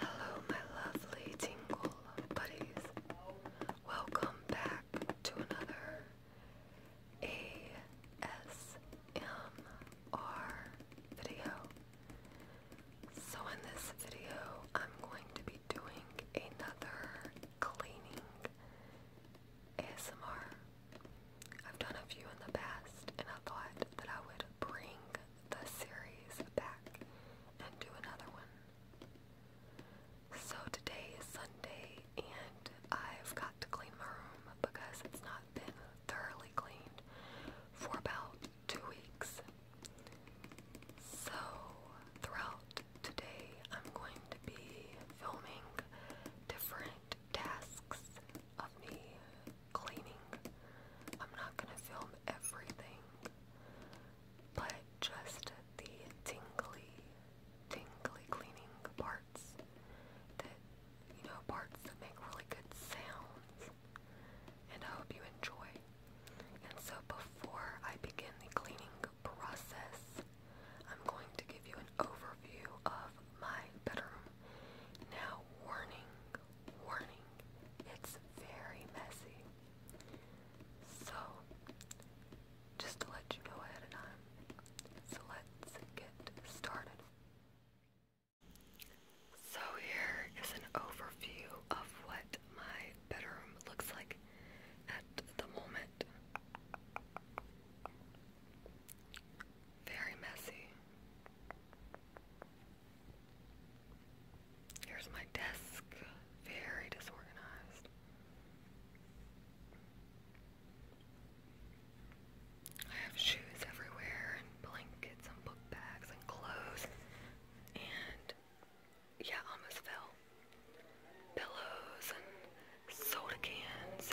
Hello, my lovely tingle buddies. Welcome back to another ASMR video. So, in this video, I'm going to be doing another cleaning ASMR. I've done a few in the past, and I thought that I would bring the series back and do another one. So today is Sunday and I've got to clean my room because it's not been thoroughly cleaned for about two weeks. So throughout today I'm going to be filming different tasks of me cleaning. I'm not gonna film everything, but just the tingly, tingly cleaning parts that, you know, parts that make really good sounds. And I hope you enjoy. And so before I begin the cleaning process, I'm going to give you an overview of my bedroom. Now, warning, warning, it's very messy. So, just to let you know ahead of time, so let's get started. So here is an overview of what my bedroom looks like at the moment. Very messy. Here's my desk, very disorganized. I have shoes everywhere, and blankets, and book bags, and clothes, and yeah, almost fell. Pillows, and soda cans,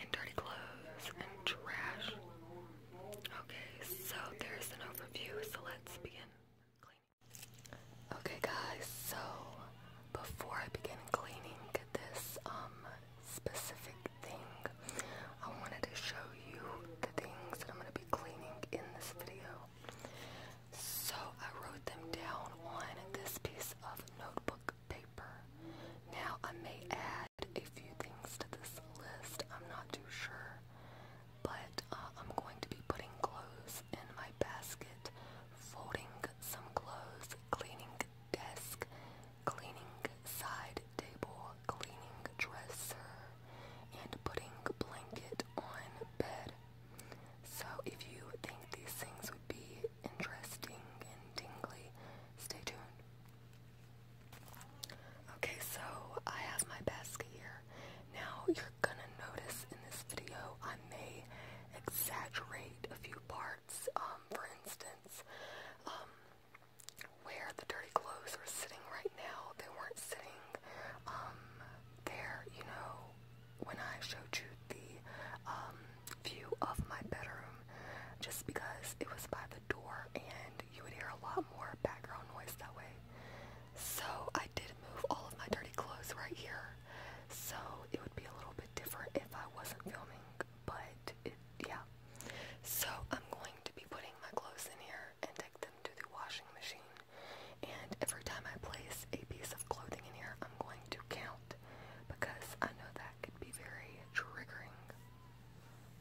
and dirty clothes, and trash. Okay, so there's an overview, so let's begin Okay guys, so before I begin cleaning this um, specific thing, I wanted to show you the things that I'm gonna be cleaning in this video. So I wrote them down on this piece of notebook paper. Now I may add a few things to this list. I'm not too sure, but uh, I'm going to be putting clothes in my basket, folding some clothes, cleaning desk, cleaning side table, cleaning dresser, and putting blanket on bed. So if you think these things would be interesting and dingly, stay tuned. Okay, so I have my basket here. Now you're gonna notice in this video I may exaggerate a few parts. Um, for instance, um, where the dirty clothes are sitting right now, they weren't sitting um, there, you know, when I showed you the view of my bedroom, just because it was by the door and you would hear a lot more background noise that way. So I did move all of my dirty clothes right here. So it would be a little bit different if I wasn't filming, but yeah. So I'm going to be putting my clothes in here and take them to the washing machine. And every time I place a piece of clothing in here, I'm going to count because I know that could be very triggering.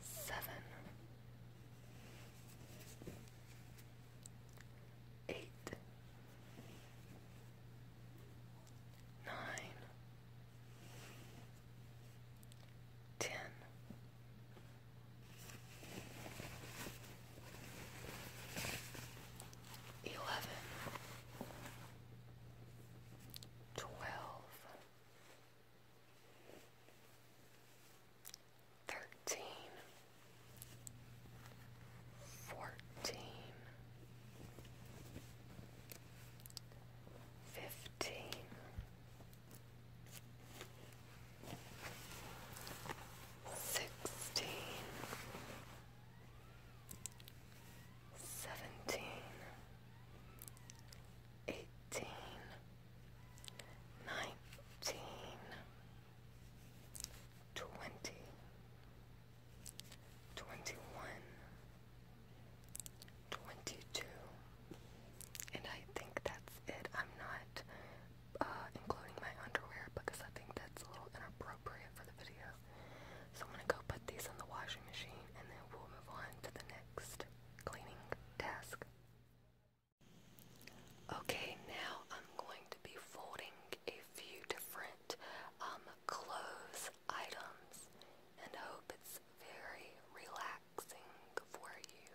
Seven, eight, nine, ten, eleven, twelve thirteen, fourteen, fifteen, sixteen seventeen, eighteen, nineteen, twenty, twenty one, twenty two, and I think that's it. I'm not uh, including my underwear because I think that's a little inappropriate for the video. So I'm gonna go put these in the washing machine and then we'll move on to the next cleaning task. Okay, now I'm going to be folding a few different um, clothes items and hope it's very relaxing for you.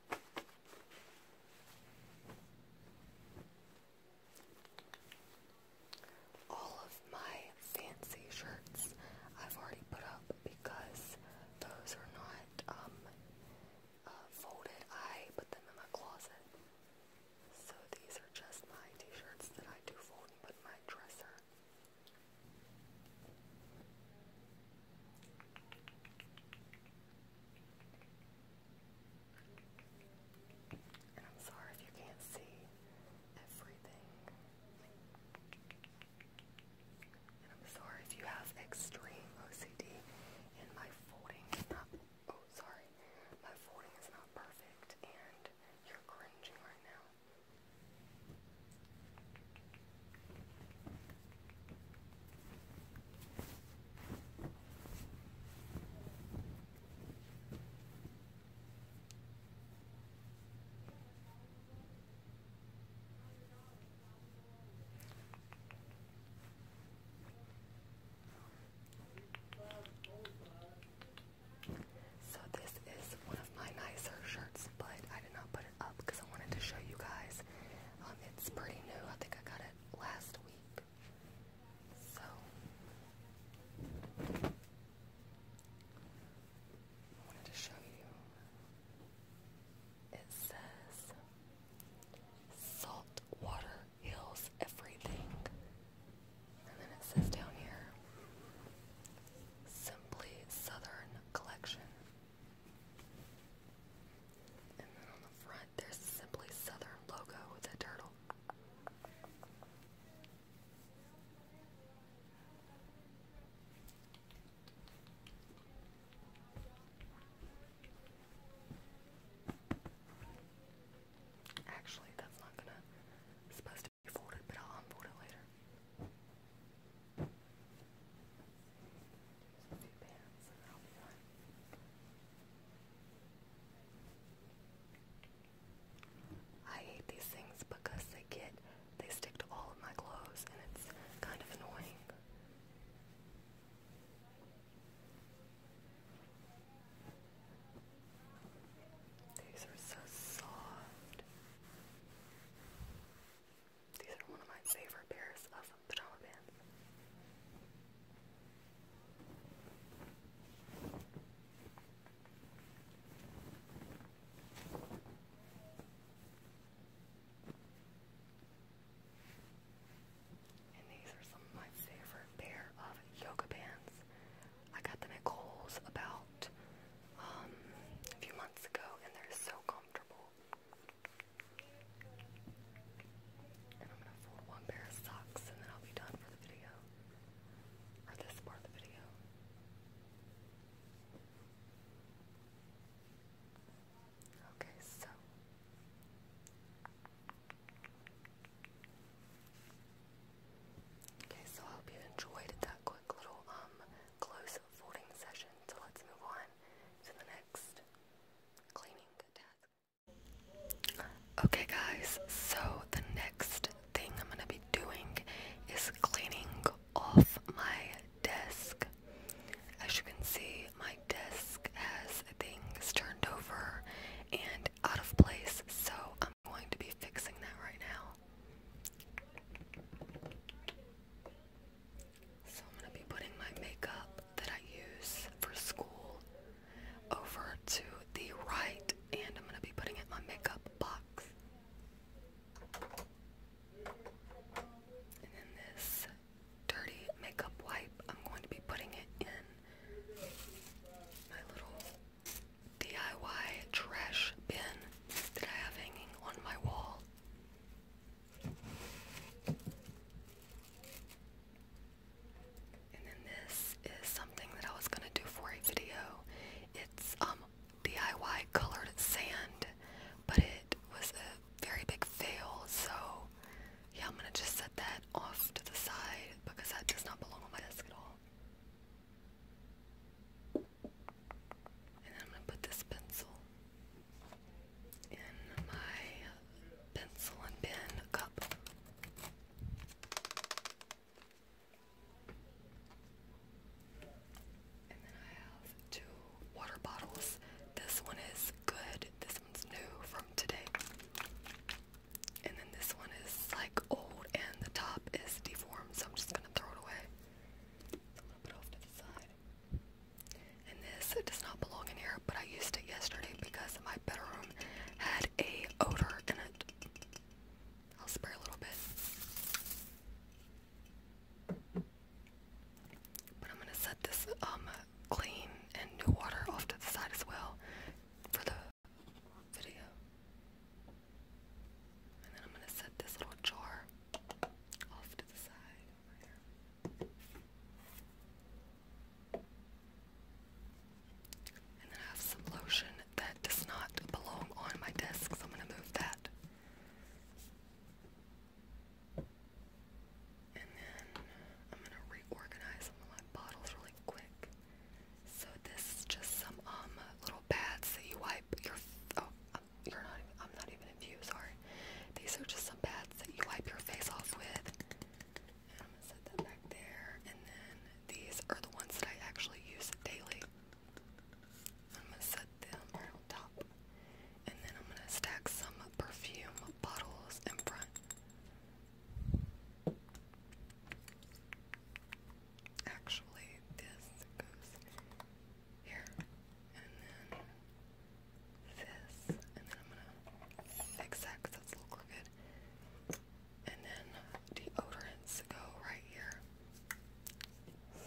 All of my fancy shirts I've already put up because those are not um, uh, folded. I put them in my closet. So these are just my t-shirts that I do fold and put in my dresser. And I'm sorry if you can't see everything. And I'm sorry if you have extreme OCD and my folding is not, oh sorry, my folding is not perfect and you're cringing right now. So this is one of my nicer shirts, but I did not put up because I wanted to show you guys. Um, it's pretty new. I think I got it last week. So I wanted to show you. It says salt water heals everything. And then it says down here Simply Southern Collection and then on the front, there's Simply Southern logo with a turtle. Actually, that's not gonna. supposed to be folded, but I'll unfold it later. I hate these things because they get they stick to all of my clothes and it's kind of annoying. These are so soft. These are one of my favorite pairs of pajama pants. And these are some of my favorite pair of yoga pants. I got them at Kohl's about um, a few months ago, and they're so comfortable. And I'm gonna fold one pair of socks and then I'll be done for the video. Or this part of the video. Okay, so Okay, so I hope you enjoyed that quick little um close folding session. So let's move on to the next Okay guys, so the next thing I'm gonna be doing is cleaning off my desk. As you can see, my desk has things turned over and out of place, so I'm going to be fixing that right now. So I'm gonna be putting my makeup that I use for school over to the right and I'm gonna be putting it in my makeup box. And then this dirty makeup wipe, I'm going to be putting it in my little DIY trash bin that I have hanging on my wall. And then this is something that I was gonna do for a video. It's um DIY colored sand, but it was a very big fail, so yeah, I'm gonna just set that off to the side because that does not belong on my desk at all. And I'm going to put this pencil in my pencil and pen cup. And then I have two water bottles. This one is good. This one's new from today. And then this one is like old and the top is deformed, so I'm just gonna throw it away. I'm gonna off to the side. And this does not belong in here, but I used it yesterday because my bedroom had a odor in it. I'll spray a little bit. But I'm gonna set this um clean and new water off to the side as well for the video. And then I'm gonna set this little jar off to the side over here. And then I have some lotion that does not belong on my desk, so I'm going to move that. And then I'm going to reorganize some of my bottles really quick. So this is just some um little pads that you wipe your. Oh, you're not I'm not even in view, sorry. These are just some pads that you wipe your face off with. And I'm gonna set them back there. And then these are the ones that I actually use daily. I'm gonna set them on top. And then I'm gonna stack some perfume bottles in front. Actually, this goes here, and then this, and then I'm gonna fix that that's a little crooked. And then deodorants go right here.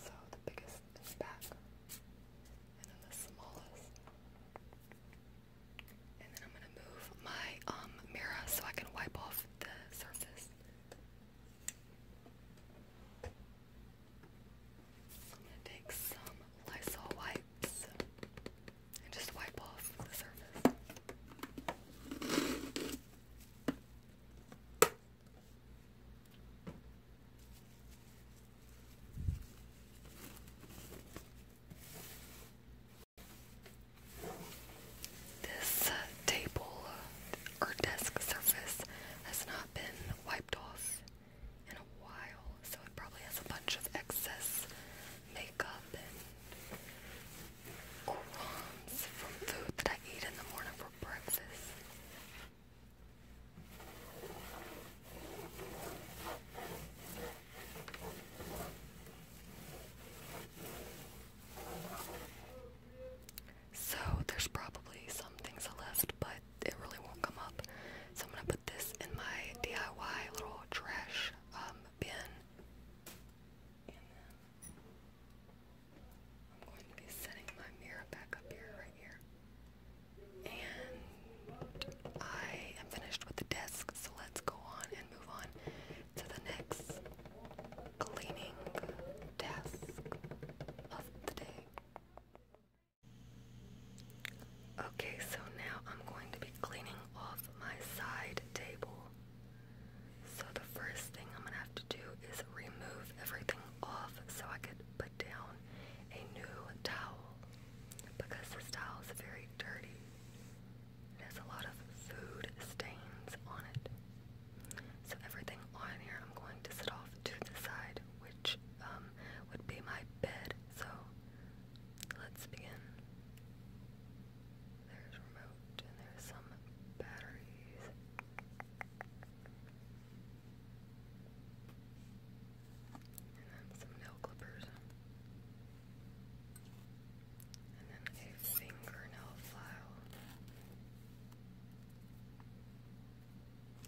So the biggest is back, and then the smallest. And then I'm gonna move my um mirror so I can wipe off the surface. I'm gonna take some Lysol wipes and just wipe off the surface. This uh, table uh, or desk surface has not been wiped off in a while, so it probably has a bunch of excess makeup and crumbs from food that I eat in the morning for breakfast. So there's probably some things left, but it really won't come up. So I'm gonna put this in my DIY little trash um, bin. I'm going to be setting my mirror back up here, right here. And I am finished with the desk, so let's go on and move on to the next cleaning desk of the day. Okay, so now I'm going to be cleaning off my side table. So the first thing I'm gonna have to do is remove everything off so I could put down a new towel because the towel is very dirty. It has a lot of food stains on it. So everything on here I'm going to set off to the side, which um, would be my bed. So let's begin. There's remote and there's some batteries. And then some nail clippers. And then a fingernail file.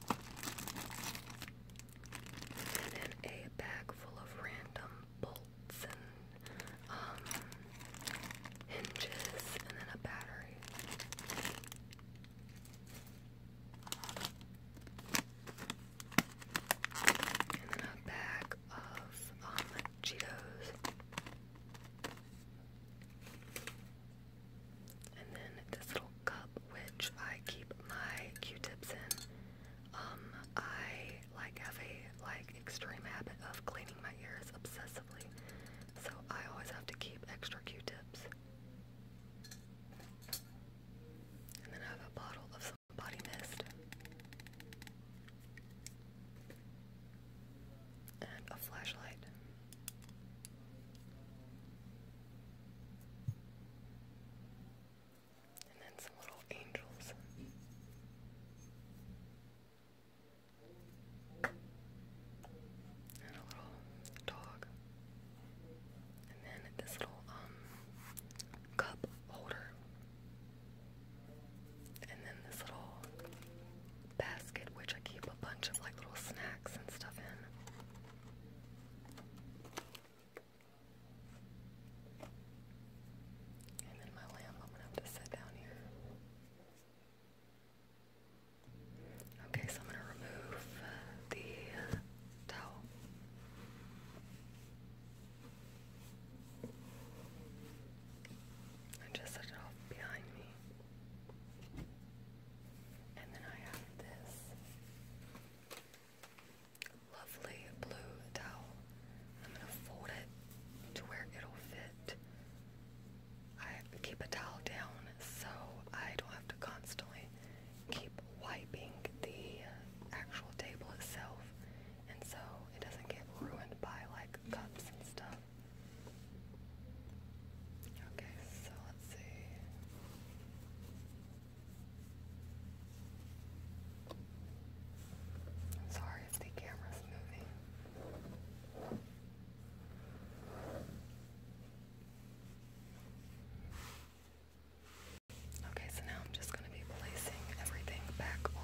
And then a bag full of random bolts and um, hinges, and then a battery. And then a bag of um, Cheetos. And then this little cup, which I keep my Q-tips in. Um, I like have a like extreme habit of cleaning my ears obsessively, so I always have to keep extra Q-tips. And then I have a bottle of some body mist. And a flashlight. And then some little angels. And a little dog. And then this little um cup holder. And then this little basket, which I keep a bunch of like little snacks and stuff in. Okay, so I'm gonna remove uh, the uh, towel. And just set it off behind me. And then I have this lovely blue towel. I'm going to fold it to where it'll fit. I keep a towel down so I don't have to constantly keep wiping the actual table itself and so it doesn't get ruined by like cups and stuff. Okay, so let's see. sorry if the camera's moving. Okay, so now I'm just going to be placing everything back on.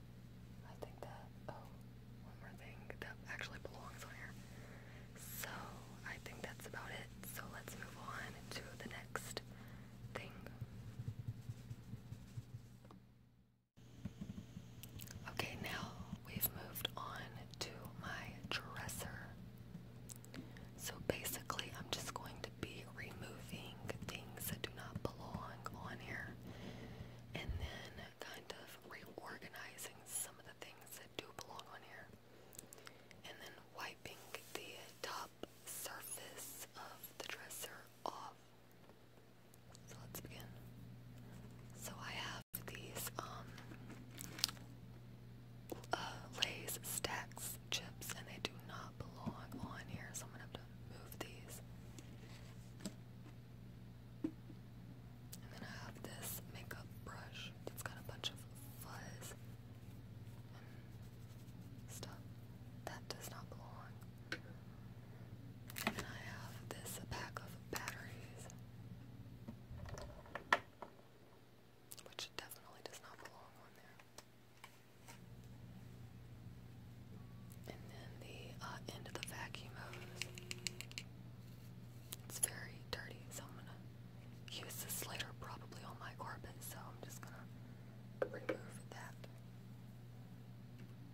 I think that, oh, one more thing that actually belongs on here. So, I think that's about it. So, let's move on to the next thing. Okay, now we've moved on to my dresser. So, basically, I'm just going to be removing things that do not belong on here and then kind of reorganizing some of the things that do belong on here and then wiping the top surface of the dresser off. So let's begin. So I have these um uh, stacks chips and they do not belong on here so I'm gonna have to move these. And then I have this makeup brush that's got a bunch of fuzz and stuff that does not belong. And I have this pack of batteries, which definitely does not belong on there. And then the uh, end of the vacuum hose. It's very dirty, so I'm gonna use this later probably on my carpet, so I'm just gonna remove that.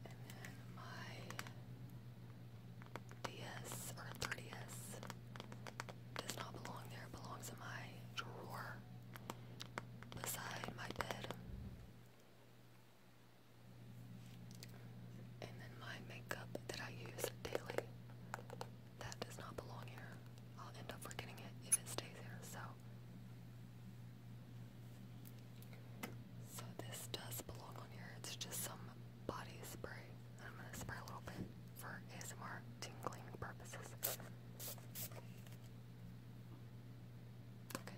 And then my DS or 30s does not belong there, belongs in my drawer beside my bed. And then my makeup that I use daily, that does not belong here. I'll end up forgetting it if it stays here, so. So this does belong on here. It's just some body spray. I'm gonna spray a little bit for ASMR tingling purposes. Okay.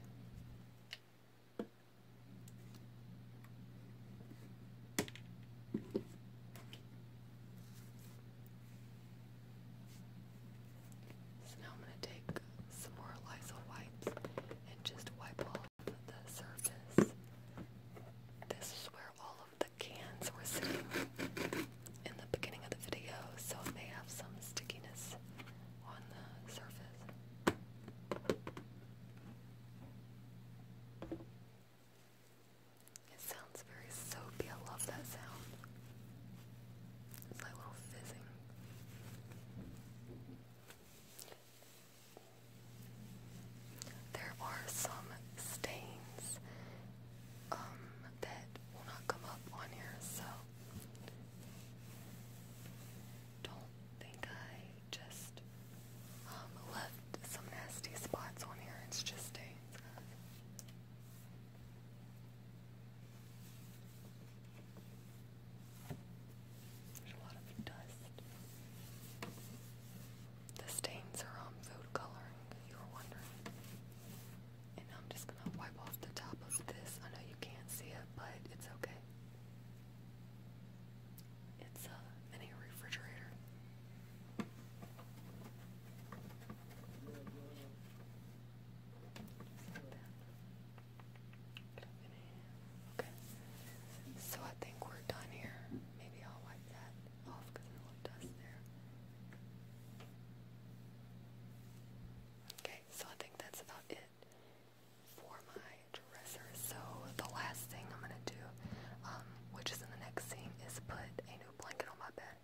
So now I'm going to take some more Lysol wipes and just wipe off the surface. This is where all of the cans were sitting in the beginning of the video, so it may have some stickiness on the surface. It sounds very soapy. I love that sound. It's like a little fizzing. There are some stains um, that will not come up on here, so don't think I just um, left some nasty spots on here. It's just There's a lot of dust. The stains are on um, food coloring, you were wondering. And I'm just gonna wipe off the top of this. I know you can't see it, but it's okay. It's uh, a mini refrigerator. Okay. So I think we're done here. Maybe I'll wipe that off because there's a little dust there. Okay, so I think that's about it for my dresser. So the last thing I'm gonna do, um, which is the next scene, is put a new blanket on my bed.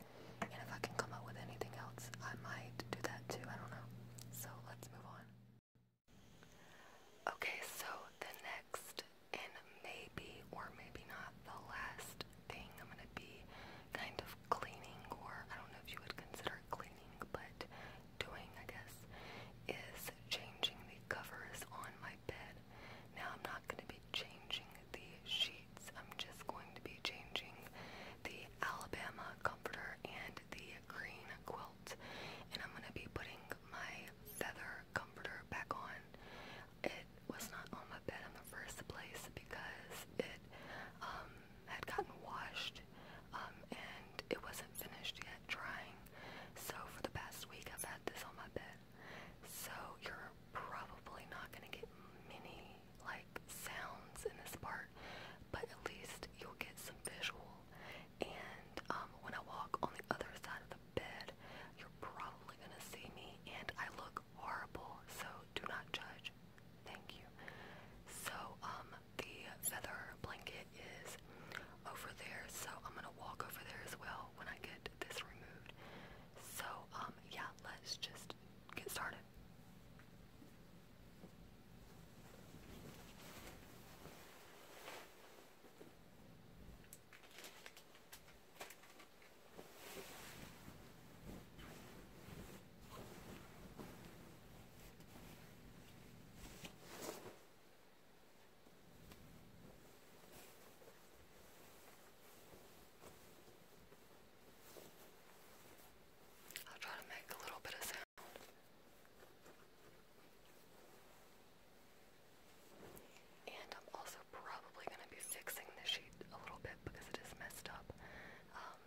And if I can come up with anything else, I might do that too. I don't know. So let's move on. Okay, so the next and maybe or maybe not the last thing I'm gonna be kind of cleaning, or I don't know if you would consider cleaning, but doing, I guess, is changing the covers on my bed. Now, I'm not going to be changing the sheets, I'm just going to be changing the Alabama comforter and the green quilt, and I'm going to be putting my feather comforter back on. It was not on my bed in the first place because it, um, had gotten washed um, and it wasn't finished yet drying. So for the past week I've had this on my bed. So you're probably not going to get many like sounds in this part, but at least you'll get some visual. And um, when I walk on the other side of the bed, you're probably going to see me and I look horrible, so do not judge. Thank you. So, um, the feather blanket is over there, so I'm gonna walk over there as well when I get this removed. So, um, yeah, let's just get started. I'll try to make a little bit of sound. And I'm also probably going to be fixing the sheet a little bit because it is messed up. Um,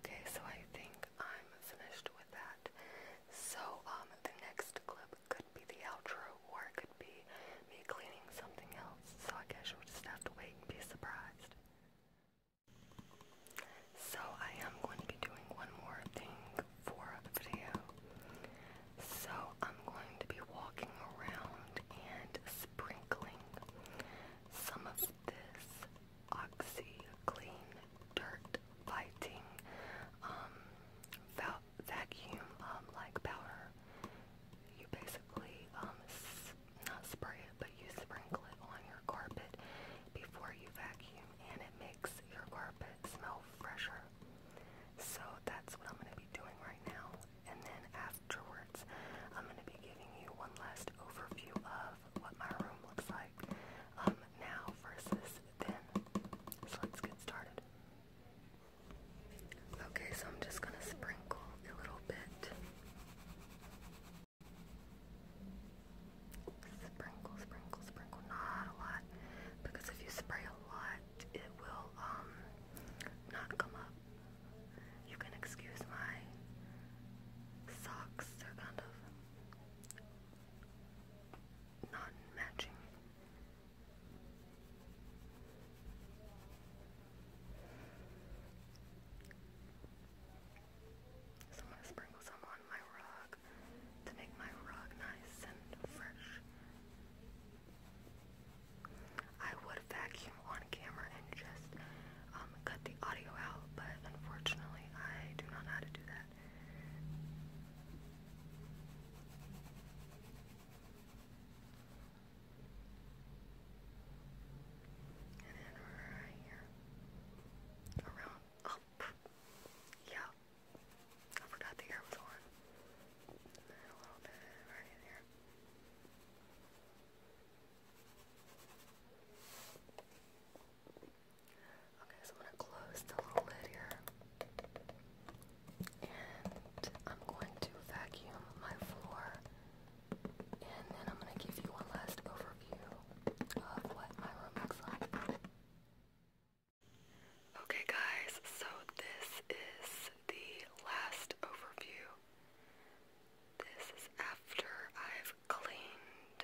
Okay, so I think I'm finished with that. So, um, the next clip could be the outro or it could be me cleaning something else. So I guess we will just have to wait and be surprised. So I am going to be doing one more thing for the video. So I'm going to be walking around and sprinkling some of this Oxy Clean Dirt Fighting um, vacuum, um, like powder, you basically um, not spray it, but you sprinkle it on your carpet before you vacuum, and it makes your carpet smell fresher. So that's what I'm going to be doing right now. And then after afterwards. I'm going to be giving you one last overview of what my room looks like um, now versus then. So let's get started. Okay, so I'm just going to sprinkle a little bit. Sprinkle, sprinkle, sprinkle. Not a lot. Because if you spray a lot, it will um, not come up. You can excuse my socks, are kind of not matching. So I'm going to sprinkle some on my rug to make my rug nice and fresh. I would vacuum on camera and just um, cut the audio out, but unfortunately, I do not know how to do that. And then right here, around up. Yeah, I forgot the air was on. a little bit right in here. Okay, so I'm going to close the little lid here. And I'm going to vacuum my floor. And then I'm going to give you one last overview of what my room looks like. Okay, guys, so this is the last overview this is after I've cleaned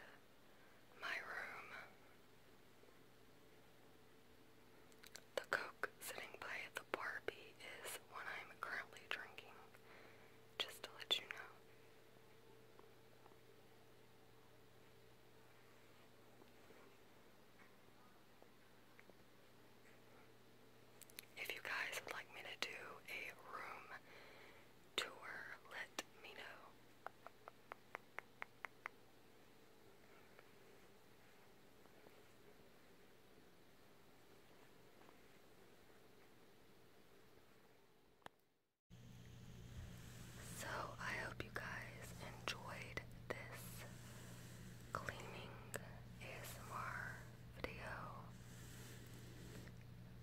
my room. The Coke sitting by the Barbie is one I'm currently drinking, just to let you know. If you guys would like me to do a room tour, let me know. So, I hope you guys enjoyed this cleaning Is ASMR video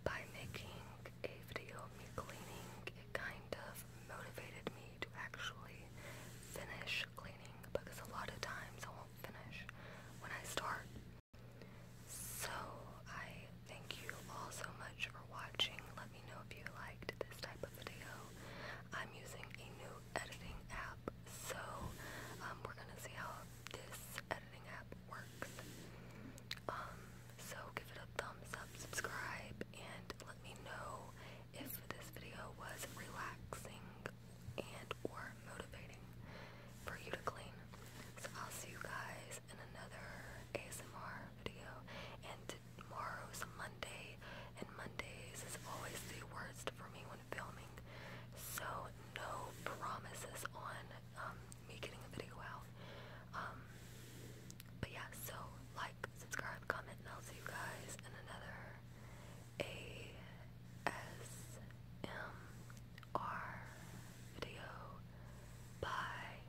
by making a video of me cleaning. It kind of motivated me to actually finish cleaning because a lot of times I won't finish when I start. So I thank you all so much for watching. Let me know if you liked this type of video. I'm using a new editing app, so um, we're gonna see how this editing app works. Um, so give it a thumbs up, subscribe, and let me know if this video was relaxing and or motivating for you to clean. So I'll see you guys in another ASMR video. And tomorrow tomorrow's Monday, and Mondays is always the worst for me when filming, so no promises on um, me getting a video out. Um, but yeah, so like, subscribe, comment, and I'll see you guys in another ASMR video. Bye.